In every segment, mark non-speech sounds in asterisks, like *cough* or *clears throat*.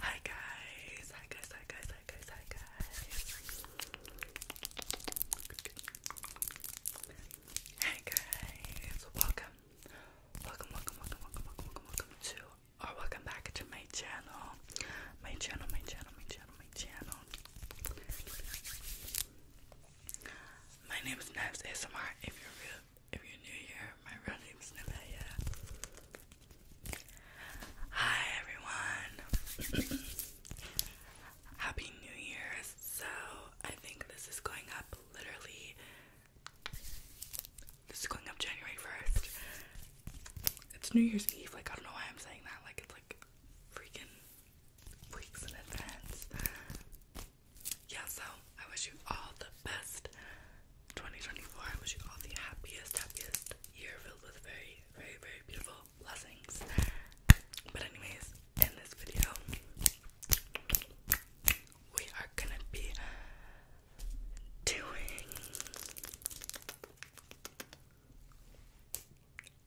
Hi guys, hi guys, hi guys, hi guys, hi guys. Hey guys, welcome. Welcome, welcome, welcome, welcome, welcome, welcome to or welcome back to my channel. My channel, my channel, my channel, my channel. My name is Naps ASMR. If you're real, if you're new here, my real name is Nevaeh. Hi everyone. *clears throat* Happy New Year's. So I think this is going up literally. This is going up January first. It's New Year's Eve. Like I don't know why I'm saying that. Like it's like freaking weeks in advance yeah, so I wish you all the best 2024. I wish you all the happiest, happiest year filled with very, very, very beautiful blessings. But, anyways, in this video, we are gonna be doing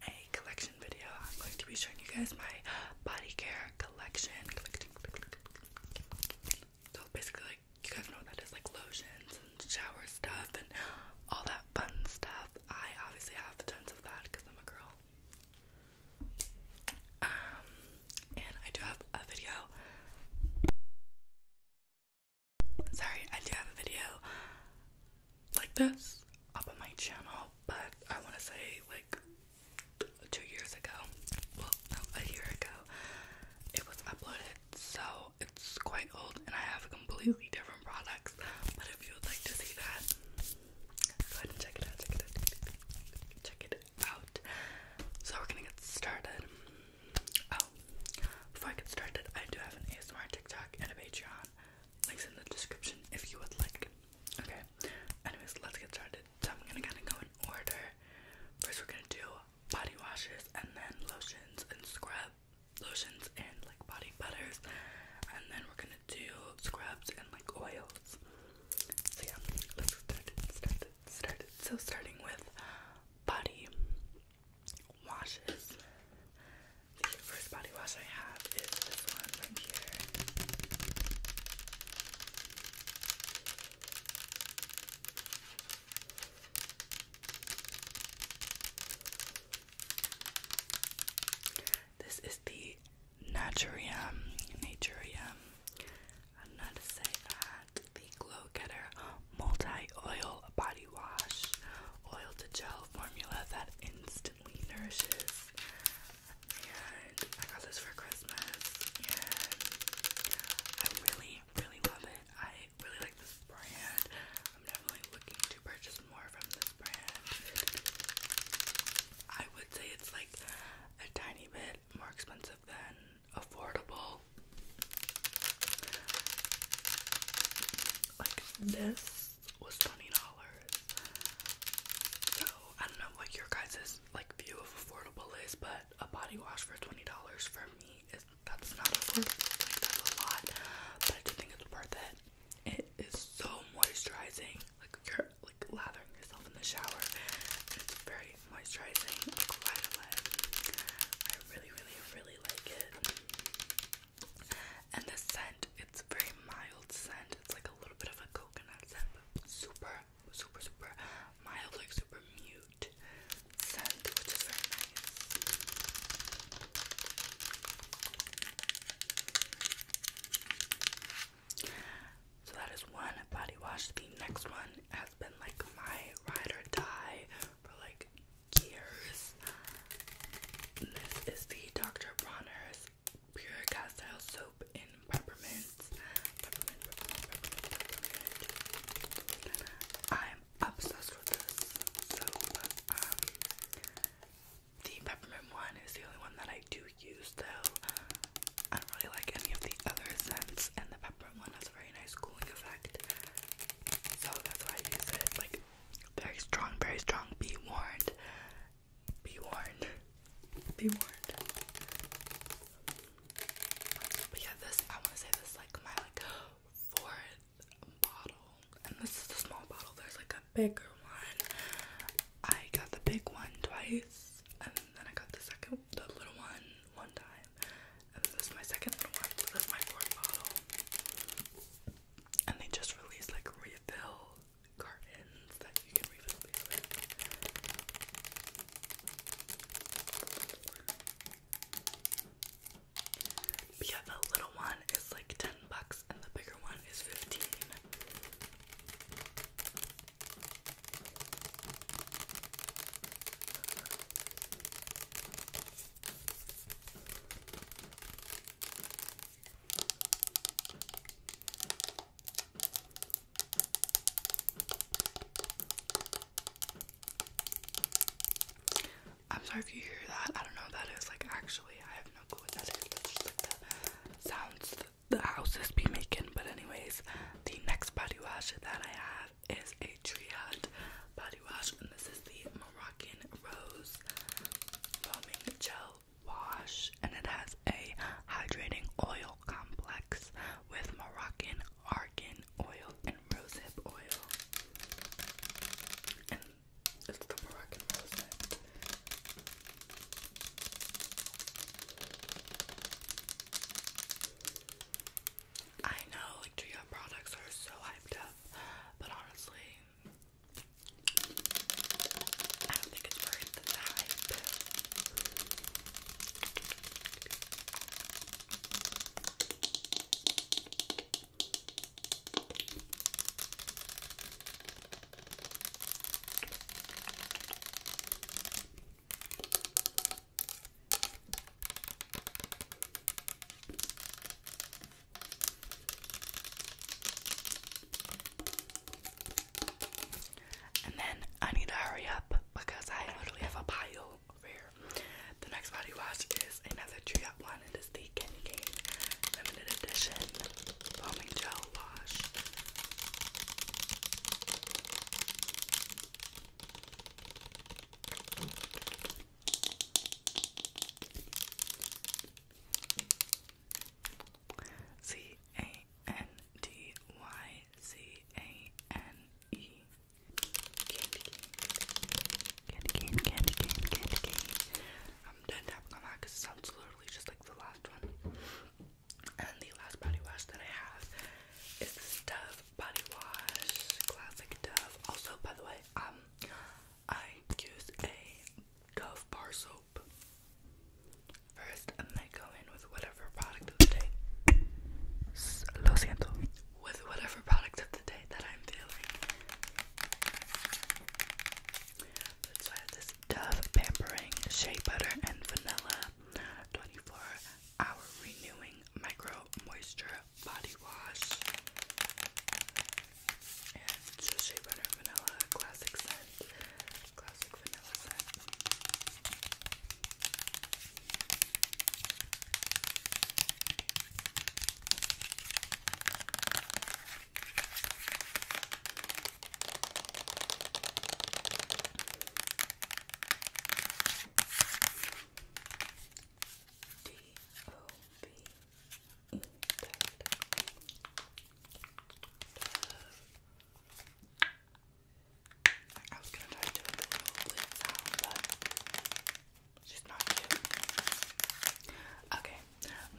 a collection video. I'm going to be showing you guys my body care collection. So basically, like, you guys know that is, like lotions and shower stuff and all that fun stuff. I obviously have tons of that because I'm a girl. Um, and I do have a video. Sorry, I do have a video like this up on my channel, but I want to say like two years ago, well, no, a year ago, it was uploaded, so it's quite old, and I have completely different products. But if you would like to see that, go ahead and check it out. Check it out. Check it out. So we're gonna get started. Oh, before I get started, I do have an ASMR TikTok and a Patreon. Links in the description if you would like Okay. Anyways, let's get started. So I'm gonna kinda go in order. First we're gonna do body washes and then lotions and scrub lotions and like body butters and then we're gonna do scrubs and like oils. So yeah, let's start it, start it, So starting with body washes. The first body wash I have is this one right here. This is the Naturium. Naturium. I don't to say that. The Glow Getter Multi Oil Body Wash. Oil to gel formula that instant instantly nourishes. And I got this for Christmas, and I really, really love it. I really like this brand. I'm definitely looking to purchase more from this brand. I would say it's like a tiny bit more expensive than affordable. Like this was twenty dollars. So I don't know what your guys' like view of affordable is, but a body wash for twenty dollars for me is that's not affordable. that's a lot, but I do think it's worth it. It is so moisturizing. Like you like lathering yourself in the shower. it's very moisturizing. Like right away. I really, really, really like it. And the scent, it's a very mild scent. It's like a little bit of a coconut scent, but super, super, super mild, like super mute scent, which is very nice. So that is one body wash. The next one has been like my ride or die for like years. This is the Dr. Bronner's Pure Castile Soap in Peppermint. Peppermint, peppermint, peppermint, peppermint. I'm obsessed with this soap. Um, the peppermint one is the only one that I do use though. I don't really like any of the other scents, and the peppermint one has a very nice cooling effect. So that's why I use it. Like very strong, very strong. Be warned. Be warned. Be warned. But yeah, this I wanna say this like my like fourth bottle. And this is the small bottle. There's like a bigger one. I got the big one twice and then I got the second the little one one time. And this is my second one. this is my fourth bottle and they just release like refill cartons that you can refill yeah, the little one is like 10 bucks and the bigger one is 15. I'm sorry if you hear that. I don't know what that is. Like, actually, I have no clue what that is. That's just like the sounds the houses be making. But, anyways, the next body wash that I have is a Triad body wash, and this is the Moroccan Rose Foaming Gel Wash, and it has a hydrating oil complex with Moroccan argan oil and rosehip oil. it's the Moroccan rosehip. I know like Gia products are so hyped up, but honestly, I don't think it's worth the hype. And then I need to hurry up because I literally have a pile here. The next body wash is another tree up one. It is the Kenny Cane Limited Edition Foaming Gel Wash. C A N D Y C A N E Candy cane, candy cane, candy candy I'm done tapping on that because it sounds literally just like the last one. And the last body wash that I have is this Dove body wash, classic Dove. Also, by the way, um, I use a Dove bar soap. First, go in with whatever product of the day. Lo siento. With whatever product of the day that I'm feeling. So I have this Dove Pampering Shea Butter and Vanilla 24 Hour Renewing Micro Moisture body wash. And it's a Shea Butter Vanilla Classic Scent. Classic Vanilla Scent. Okay,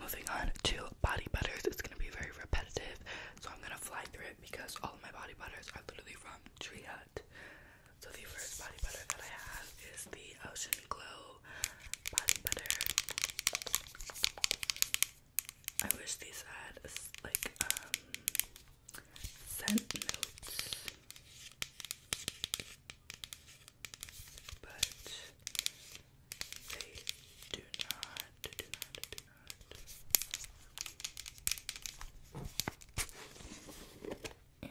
moving on to body butters. It's gonna be very repetitive, so I'm gonna fly through it because all my body butters are literally from Tree Hut. So the first body butter that I have is the Ocean Glow body butter. I wish these had like um, scent notes. But they do not. And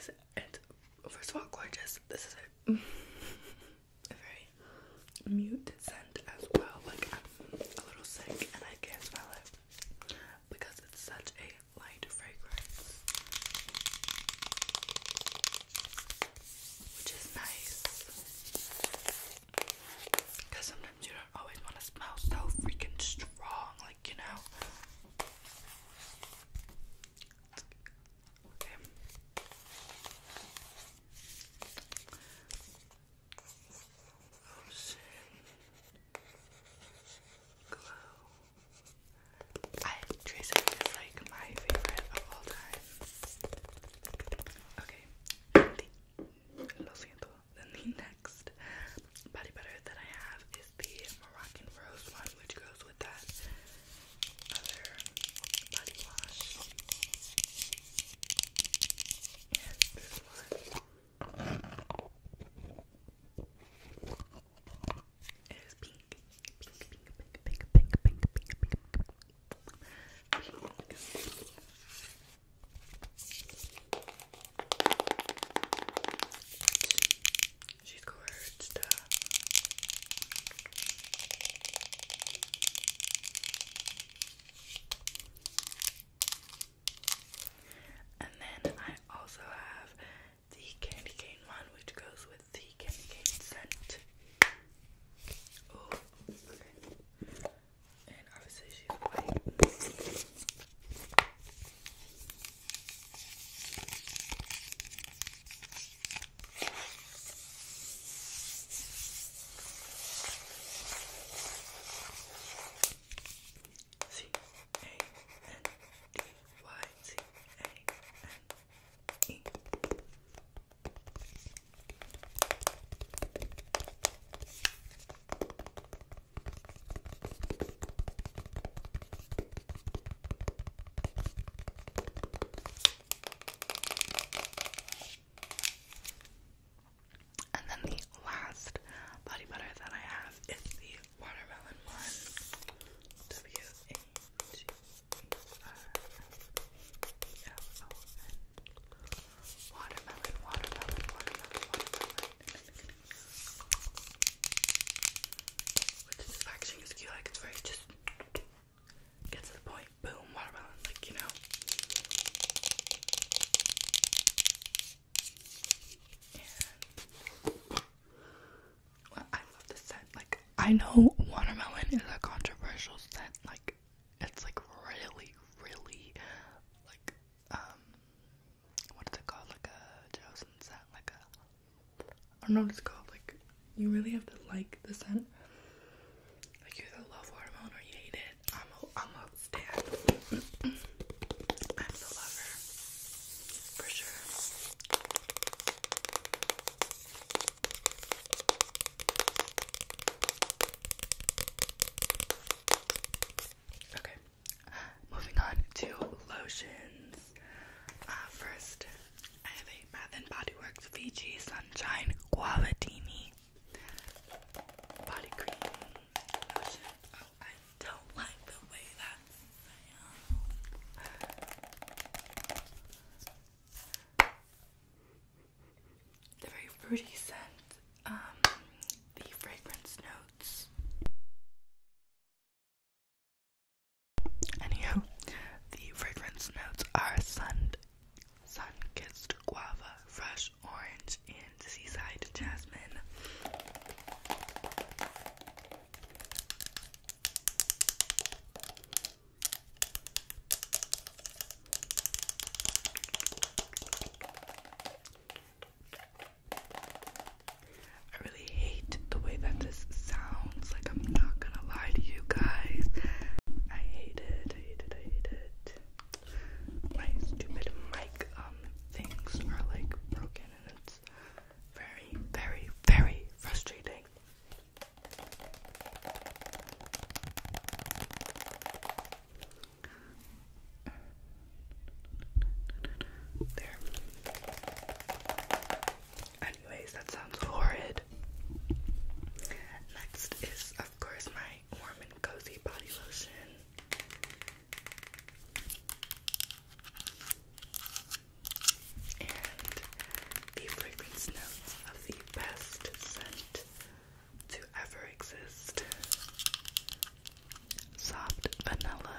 so, this it's first of all gorgeous. This is a, *laughs* a very mute scent as well. Like I'm a little sick and I can't smell it because it's such a light fragrance, which is nice. Because sometimes you don't always want to smell so freaking strong, like, you know. Okay. Ocean Glow. I Trace It is like my favorite of all time. Okay. Lo siento than the next body butter that I have is the Moroccan Rose one, which goes with that other body wash. She's gorged. And then I also have the candy cane one, which goes with the candy cane scent and obviously she's white. C A N D Y C A N E. And then the last body butter that I have is the watermelon one. Watermelon, watermelon, watermelon, watermelon. cute, like very just get to the point, boom, watermelon, like you know. I love the scent. Like I know watermelon is a controversial scent, like it's like really, really like um what is it called? Like a Jocelyn scent, like a I don't know what it's called, like you really have to like the scent. Like you either love watermelon or you hate it. I'm a I'm a stan. I'm the lover. For sure. Okay, moving on to lotions. Uh, first, I have a Bath and Body Works Fiji Sunshine Guavatini body cream lotion. Oh, I don't like the way that sounds the very fruity scent, um, the fragrance notes. Anywho, the fragrance notes are sun, sun-kissed guava, fresh orange, and seaside jasmine. I really hate the way that this sounds. Like, I'm not gonna lie to you guys. I hate it, I hate it, I hate it. My stupid mic um things are like broken and it's very, very, very frustrating. Anyways, that sounds horrid. Next is, of course, my warm and cozy body lotion. And the fragrance notes of the best scent to ever exist soft vanilla,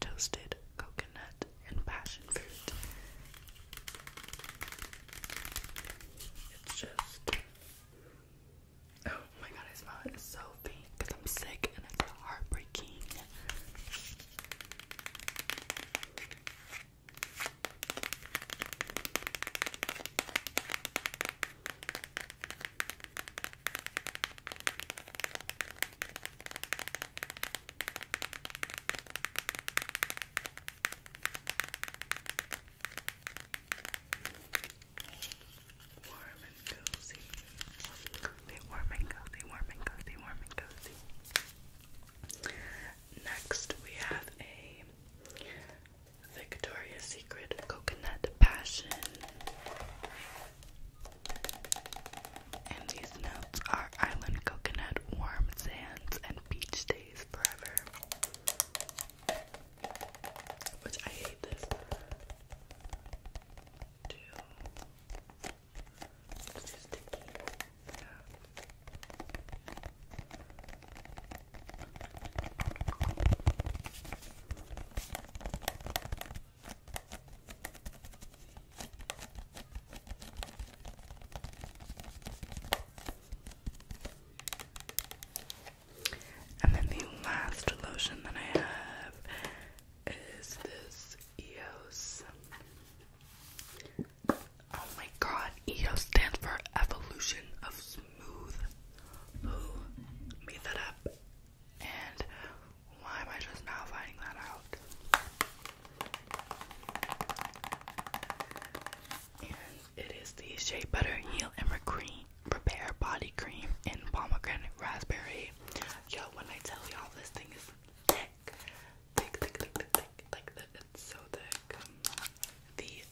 toasted coconut, and passion fruit. It's just. Oh my god, I smell it. It's so faint because I'm sick and it's heartbreaking. Warm and cozy. They warm and cozy, warm and cozy, warm and cozy. Next, we have a Victoria's Secret Coconut Passion. And these notes are island coconut, warm sands, and beach days forever. Which I hate this. Two and then the last lotion that I have is this EOS Oh my god, EO stands for Evolution of Smooth. Who made that up? And why am I just now finding that out? And it is the Shea Butter Heal and Repair Body Cream in Pomegranate Raspberry. Yo, when I tell y'all this thing Thick, thick, thick, thick, thick, like that. It's so thick. Um, the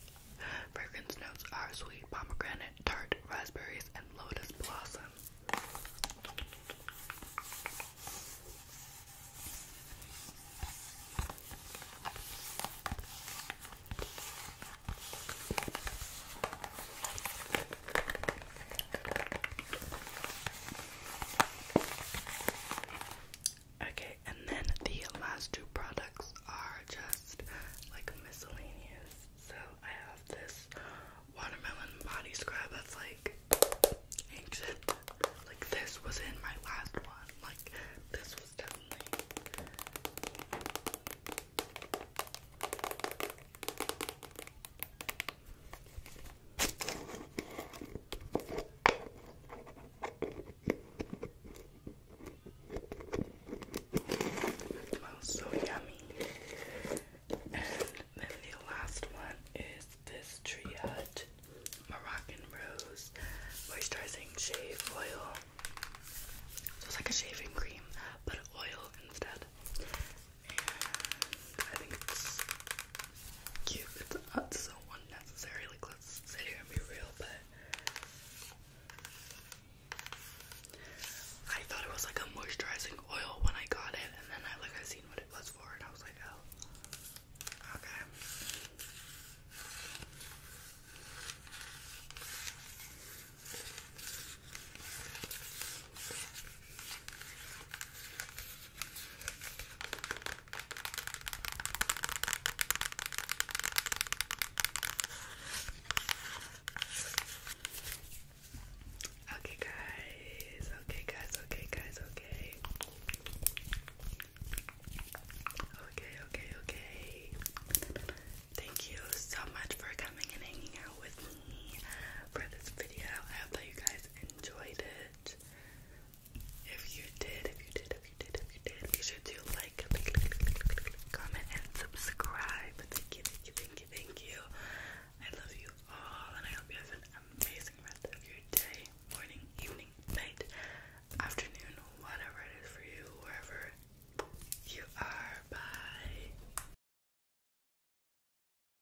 fragrance notes are sweet pomegranate, tart raspberries, and lotus blossom. Okay, and then the last two products are just like miscellaneous. So I have this watermelon body scrub that's like ancient. Like this was in my last one. Like this was definitely smells so yummy. And then the last one is this Tree Hut Moroccan Rose Moisturizing Shave Oil. So it's like a shaving cream, but oil instead. I think it's cute. It's, uh, so unnecessary. Like, let's sit here and be real, but I thought it was like a moisturizing oil when I got it, and then I like I seen what it was for, and I was like, oh. Okay. Okay, guys, okay, guys, okay, guys, okay. Okay, okay, okay. Thank you so much for coming and hanging out with me for this video. I hope that you guys enjoyed it. If you did, if you did, if you did, if you did, be sure to like, comment, and subscribe. Thank you, thank you, thank you, thank you. I love you all, and I hope you have an amazing rest of your day, morning, evening, night, afternoon, whatever it is for you, wherever you are. Bye.